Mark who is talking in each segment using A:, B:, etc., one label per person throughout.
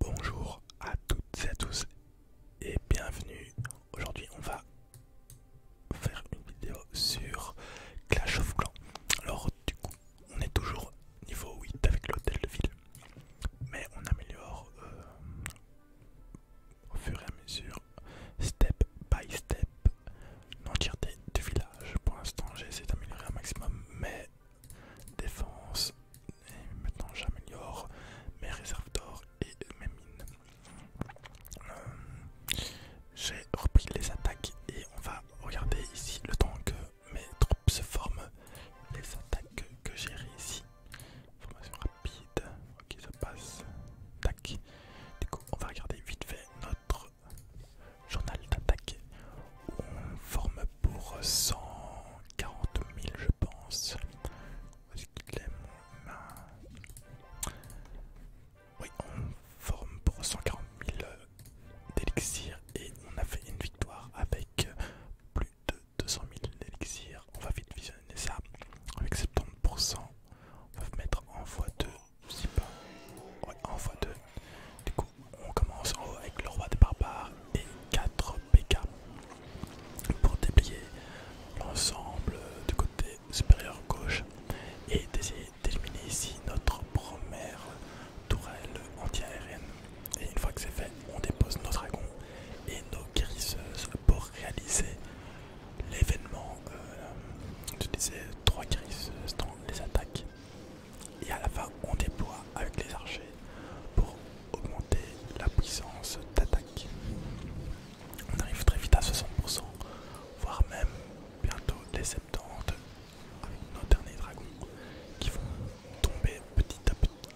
A: Bonjour à toutes et à tous et bienvenue. Aujourd'hui on va faire une vidéo sur Clash of Clans. Alors du coup on est toujours niveau 8 avec l'hôtel de ville mais on améliore euh, au fur et à mesure step by step l'entièreté du village. Pour l'instant j'ai essayé d'améliorer un maximum mais défense, et maintenant j'améliore mes réserves d'or et mes mines. Euh, j'ai repris les attaques et on va regarder ici le temps que mes troupes se forment. Les attaques que j'ai réussi. Formation rapide. Ok ça passe. Tac. Du coup on va regarder vite fait notre journal d'attaque où on forme pour 100 40 000 je pense. Oui, on forme pour 140 000 d'élixir et on a fait une victoire avec euh, plus de 200 000 d'élixir. On va vite visionner ça avec 70%. On va mettre en x2, pas. en x2. Du coup, on commence en haut avec le roi des barbares et 4 PK pour déplier l'ensemble du côté supérieur gauche et d'essayer d'éliminer ici notre première tourelle anti-aérienne. Et une fois que c'est fait, on dépose nos dragons et nos guérisseuses pour réaliser l'événement. Euh, je disais trois guérisseuses dans les attaques. Et à la fin, on déploie avec les archers pour augmenter la puissance d'attaque. On arrive très vite à 60%, voire même bientôt les 70 avec nos derniers dragons qui vont tomber petit à petit.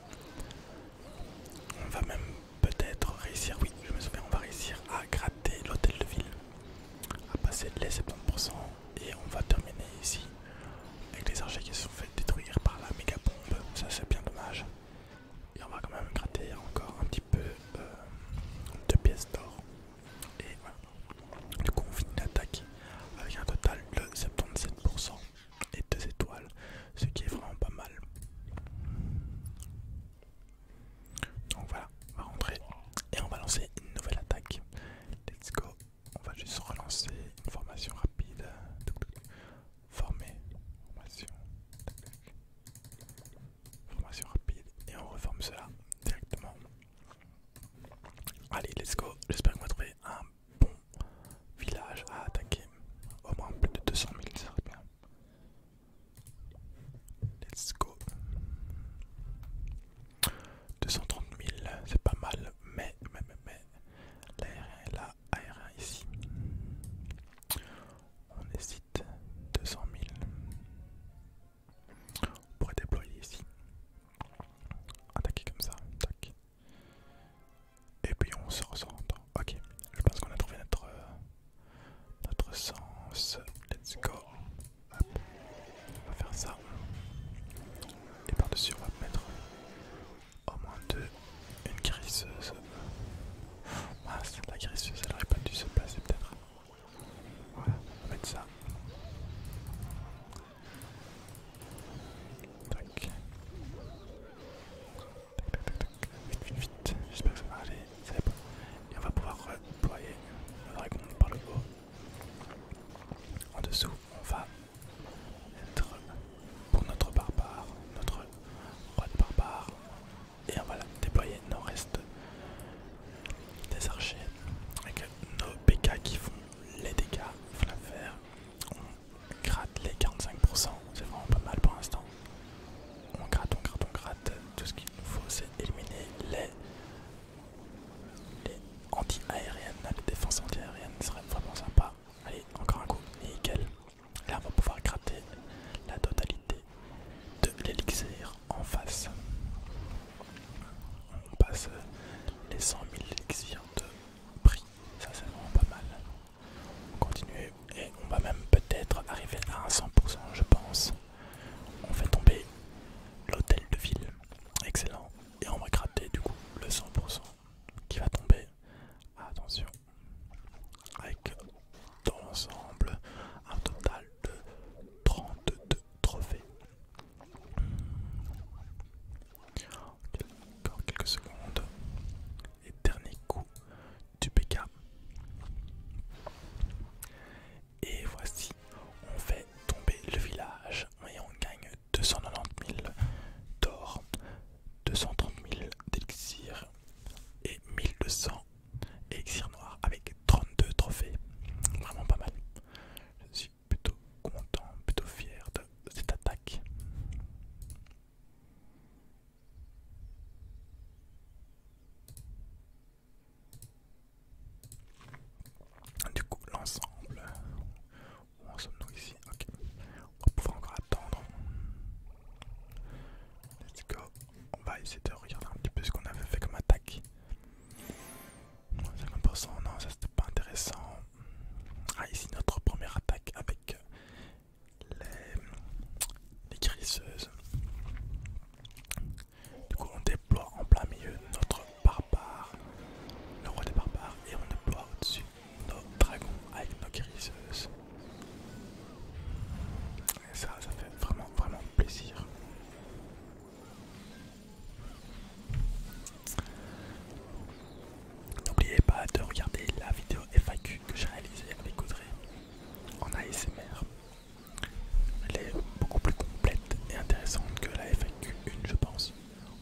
A: On va même peut-être réussir, oui, je me souviens, on va réussir à gratter l'hôtel de ville, à passer les 70% et on va terminer ici avec les archers qui se sont fait détruire par la méga bombe, ça c'est bien dommage. Et on va quand même gratter encore un petit peu euh, de pièces d'or. Et voilà. Du coup on finit l'attaque avec un total de 77% et 2 étoiles, ce qui est vraiment pas mal. Donc voilà, on va rentrer et on va lancer une nouvelle attaque. Let's go. On va juste relancer une formation rapide former, formation, rapide et on reforme cela directement. Allez, let's go. J'espère qu'on va trouver un bon village à attaquer. Au moins plus de 200 000, ça serait bien. Let's go. 230 000, c'est pas mal, mais, mais, mais L'aérien et là, ici. On hésite 200 000. On pourrait déployer ici. Attaquer comme ça, Et puis on se recentre Ok, je pense qu'on a trouvé notre, euh, notre sens. Let's go. On va faire ça. Et par-dessus, on va mettre au moins deux. Une grisseuse. la griseuse elle aurait pas dû se placer peut-être. Voilà, on va mettre ça. Vite, vite, vite. J'espère que ça va aller. Et on va pouvoir reployer le dragon par le haut. En dessous, on va pour notre barbare, notre roi de barbare. Et on va déployer nos restes des archers avec nos PK qui font les dégâts. faire. On gratte les 45%, c'est vraiment pas mal pour l'instant. On gratte, on gratte, on gratte. Tout ce qu'il nous faut, c'est éliminer les, les anti-aériennes, les défenses anti-aériennes, ce serait vraiment sympa. Allez, encore un coup, nickel. Là, on va pouvoir gratter la totalité de l'élixir en face. On passe euh, les 100 000 élixirs de prix, ça c'est vraiment pas mal. On continue et on va même peut-être arriver à un 100%, je pense. On fait tomber l'hôtel de ville, excellent, et on va gratter du coup le 100% qui va tomber. Attention, avec dans l'ensemble un total de 32 trophées. Encore quelques secondes. Et dernier coup du PK. Et voici, on fait tomber le village et on gagne 290 000 d'or. 230 000 d'élixir et 1200 élixirs noir avec 32 trophées. Vraiment pas mal. Je suis plutôt content, plutôt fier de cette attaque. Du coup, l'ensemble, où sommes-nous ici On va encore attendre. Let's go. On va essayer de regarder un petit peu ce qu'on avait fait comme attaque. 50% non, ça c'était pas intéressant. Ah, ici notre première attaque avec euh, les, les Du coup, on déploie en plein milieu notre barbare, le roi des barbares, et on déploie au-dessus nos dragons avec nos guérisseuses Et ça, ça fait vraiment, vraiment plaisir. N'oubliez pas de regarder la vidéo FAQ que j'ai réalisée avec Audrey en ASMR. Elle est beaucoup plus complète et intéressante que la FAQ 1 je pense.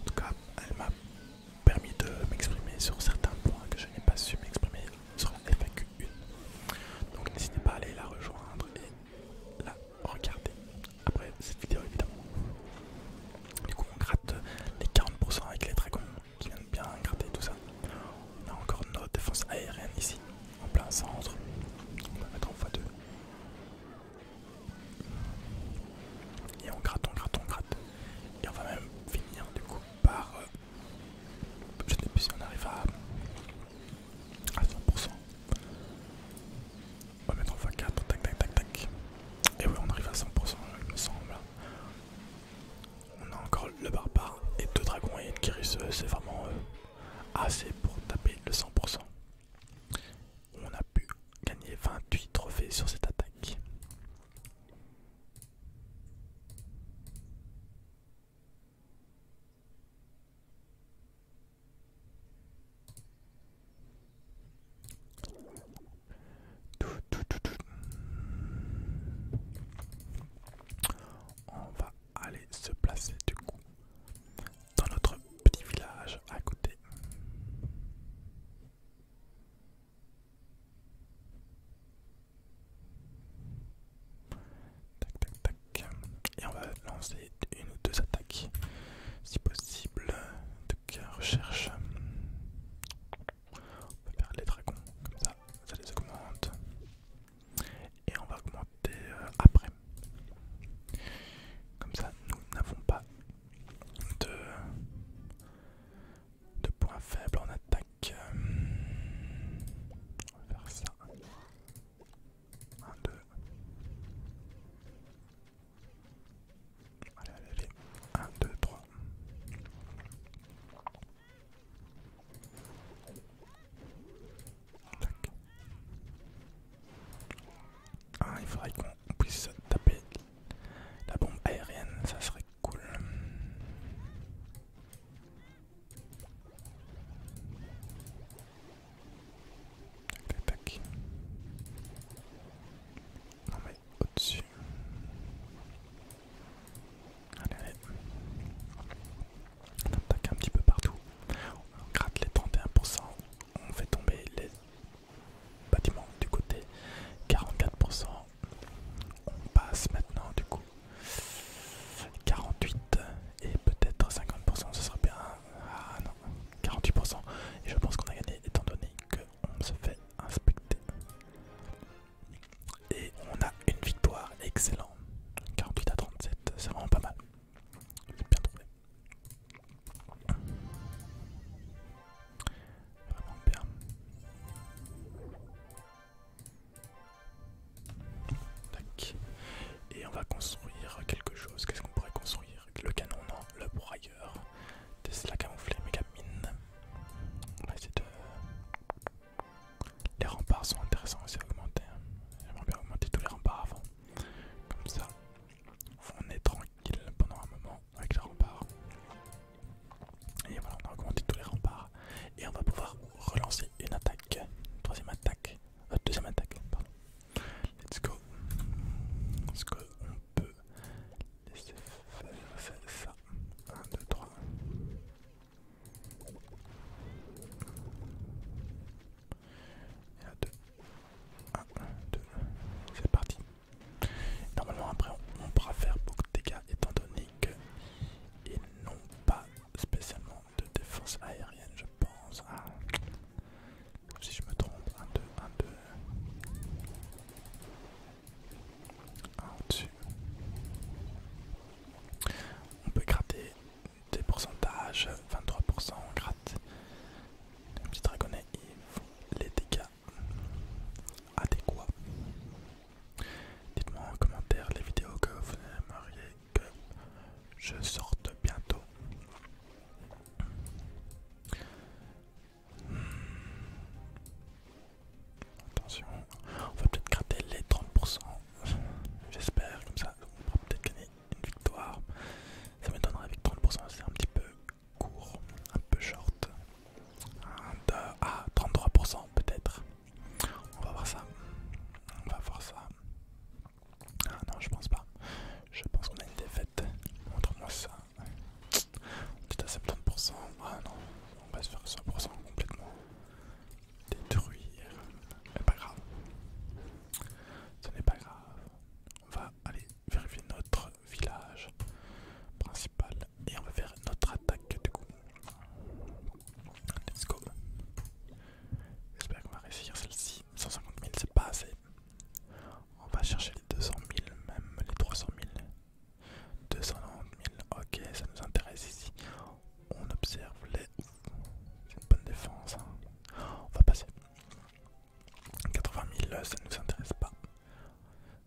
A: En tout cas, elle m'a permis de m'exprimer sur certains points que je n'ai pas su m'exprimer sur la FAQ1. Donc n'hésitez pas à aller la rejoindre et la regarder après cette vidéo évidemment. Du coup on gratte les 40% avec les dragons qui viennent bien gratter tout ça. On a encore notre défense aérienne ici, en plein centre. On va mettre en x2. Et on gratte, on gratte, on gratte. Et on va même finir du coup par. Euh, je ne sais plus si on arrive à, 100%. On va mettre en fois 4 tac tac tac tac. Et oui, on arrive à 100%, il me semble. On a encore le barbare et deux dragons et une Kyrus, euh, c'est vraiment euh, assez pour taper le 100%. On a pu gagner 28 trophées sur cette attaque. On va aller se placer du coup dans notre petit village à côté. Tac tac tac. Et on va lancer une ou deux attaques si possible. Donc recherche. On va faire les dragons comme ça, ça les augmente. Et on va augmenter euh, après. Comme ça, nous n'avons pas de de points faibles en attaque. Euh, on va faire ça. 1, 2. Allez, allez, allez. 1, 2, 3. Tac. Ah, il faudrait qu'on puisse taper la bombe aérienne, ça serait cool. Tac, tac, Non mais au-dessus. On attaque un petit peu partout. On gratte les 31%. On fait tomber les bâtiments du côté. 44%. On passe maintenant du coup. 48 et peut-être 50%, ce serait bien. Ah non, 48%. Et je pense qu'on a gagné étant donné qu'on se fait inspecter. Et on a une victoire, excellente. 48 à 37, c'est vraiment pas mal. j'ai bien trouvé. Vraiment bien. Et on va construire quelque chose. Qu'est-ce qu'on pourrait construire Le canon, non, le broyeur. Tesla camouflé, mine. On va essayer Les remparts sont intéressants aussi à augmenter. Hein. J'aimerais bien augmenter tous les remparts avant. Comme ça, on est tranquille pendant un moment avec les remparts. Et voilà, on a augmenté tous les remparts. Et on va pouvoir relancer une attaque. Troisième attaque. Euh, deuxième attaque, Let's go. Est-ce qu'on peut laisser faire ça 1, 2, 3. Et là, 2. 1, 2. C'est parti. Normalement, après, on, on pourra faire beaucoup de dégâts étant donné aéronautique. Ils n'ont pas spécialement de défense aérienne, je pense. à ah. Si je me trompe, 1, 2, 1, 2. dessus On peut gratter des pourcentages, 23% on gratte. Les petit dragonnets, ils font les dégâts adéquats. Dites-moi en commentaire les vidéos que vous aimeriez que je sorte bientôt. Hmm. Attention, on va peut-être gratter les 30%. J'espère, comme ça on pourra peut-être gagner une victoire. Ça m'étonnerait avec 30%, c'est un petit peu court, un peu short. 2... à 33% peut-être. On va voir ça. On va voir ça. Ah non, je pense pas. Je pense qu'on a une défaite. Montre-moi ça. On est à 70%. Ah non, on va se faire 100% complètement détruire. Mais pas grave. Ce n'est pas grave. On va aller vérifier notre village principal et on va faire notre attaque du coup. Let's go. J'espère qu'on va réussir celle-ci. 150 000 c'est pas assez. On va chercher les 200 000, même les 300 000. 290 000, ok ça nous intéresse ici. On observe les... C'est une bonne défense. Hein. On va passer. 80 000, ça ne nous intéresse pas.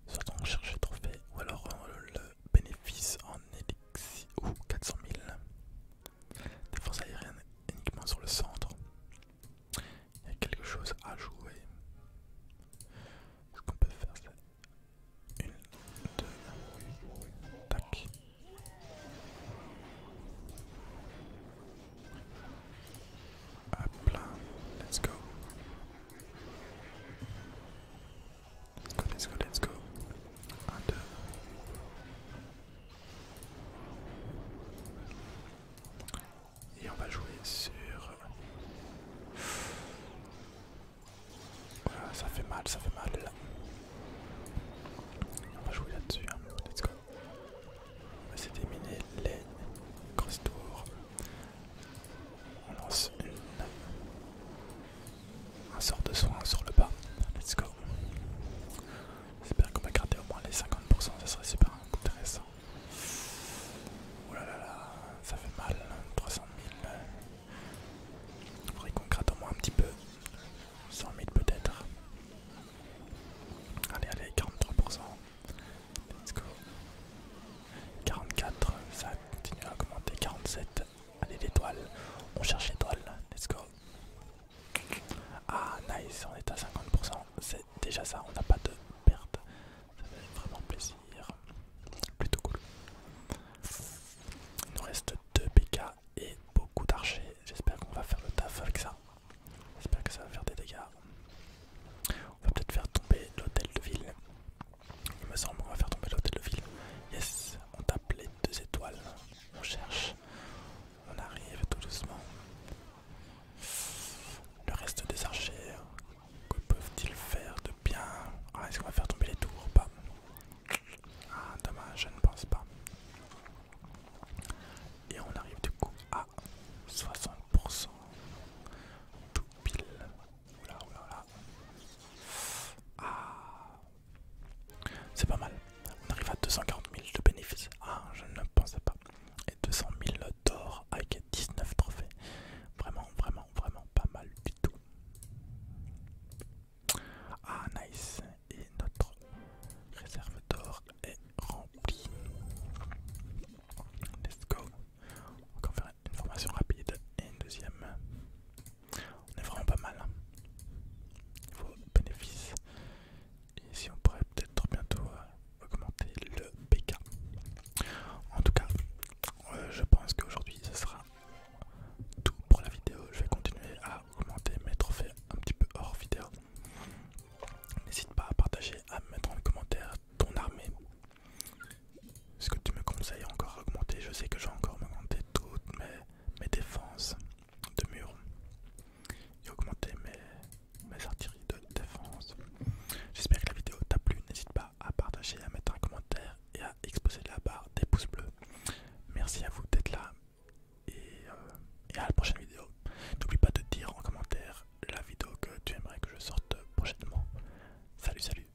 A: Soit on cherche le trophée ou alors euh, le bénéfice en élixir ou 400 000. Défense aérienne uniquement sur le centre. Il y a quelque chose à jouer. Ce qu'on peut faire c'est une, deux, tac. Hop là, let's go. Let's go, let's go, let's go. 1, 2. Et on va jouer sur... Euh, ça fait mal, ça fait mal. On va jouer là-dessus, hein, let's go. On va essayer d'éliminer les cross tour. On lance une... un sort de soin sur le bas. Let's go. J'espère qu'on va gratter au moins les 50%, ça serait super intéressant. Oh là là ça fait mal, 300 000. Il faudrait qu'on gratte au moins un petit peu. 100 000 peut-être. Allez, allez, 43%. Let's go. 44, ça continue à augmenter. 47, Allez, l'étoile. On cherche l'étoile. Let's go. Ah, nice. On est à 50%. C'est déjà ça. On n'a pas de perte. Ça fait vraiment plaisir. Plutôt cool. Il nous reste 2 PK et beaucoup d'archers. J'espère qu'on va faire le taf avec ça. J'espère que ça va faire des dégâts. On va peut-être faire tomber l'hôtel de ville. Il me semble, qu'on va faire tomber l'hôtel de ville. Yes, on tape les deux étoiles. On cherche. On arrive tout doucement. Le reste des archers, que peuvent-ils faire de bien ah, Est-ce qu'on va faire tomber les tours ou pas Ah, dommage, je ne pense pas. Et on arrive du coup à 60%. Tout pile. Ah. C'est pas mal. On arrive à 240 000 de bénéfices. Ah, je ne pensais pas. Et 200 000 d'or avec 19 trophées. Vraiment, vraiment, vraiment pas mal du tout. Ah, nice. Et notre réserve d'or est remplie. Let's go une formation rapide et une deuxième. On est vraiment pas mal. Hein. niveau bénéfice bénéfices. Et si on pourrait peut-être bientôt euh, augmenter le PK. En tout cas, euh, je pense qu'aujourd'hui ce sera tout pour la vidéo. Je vais continuer à augmenter mes trophées un petit peu hors vidéo. N'hésite pas à partager, à mettre en commentaire ton armée. Est-ce que tu me conseilles encore augmenter Je sais que je vais encore augmenter toutes mes, défenses de mur et augmenter mes, artilleries de défense. J'espère que la vidéo t'a plu. N'hésite pas à partager, à mettre un commentaire et à exposer la barre des pouces bleus. Merci à vous d'être là et euh, à la prochaine vidéo. N'oublie pas de dire en commentaire la vidéo que tu aimerais que je sorte prochainement. Salut, salut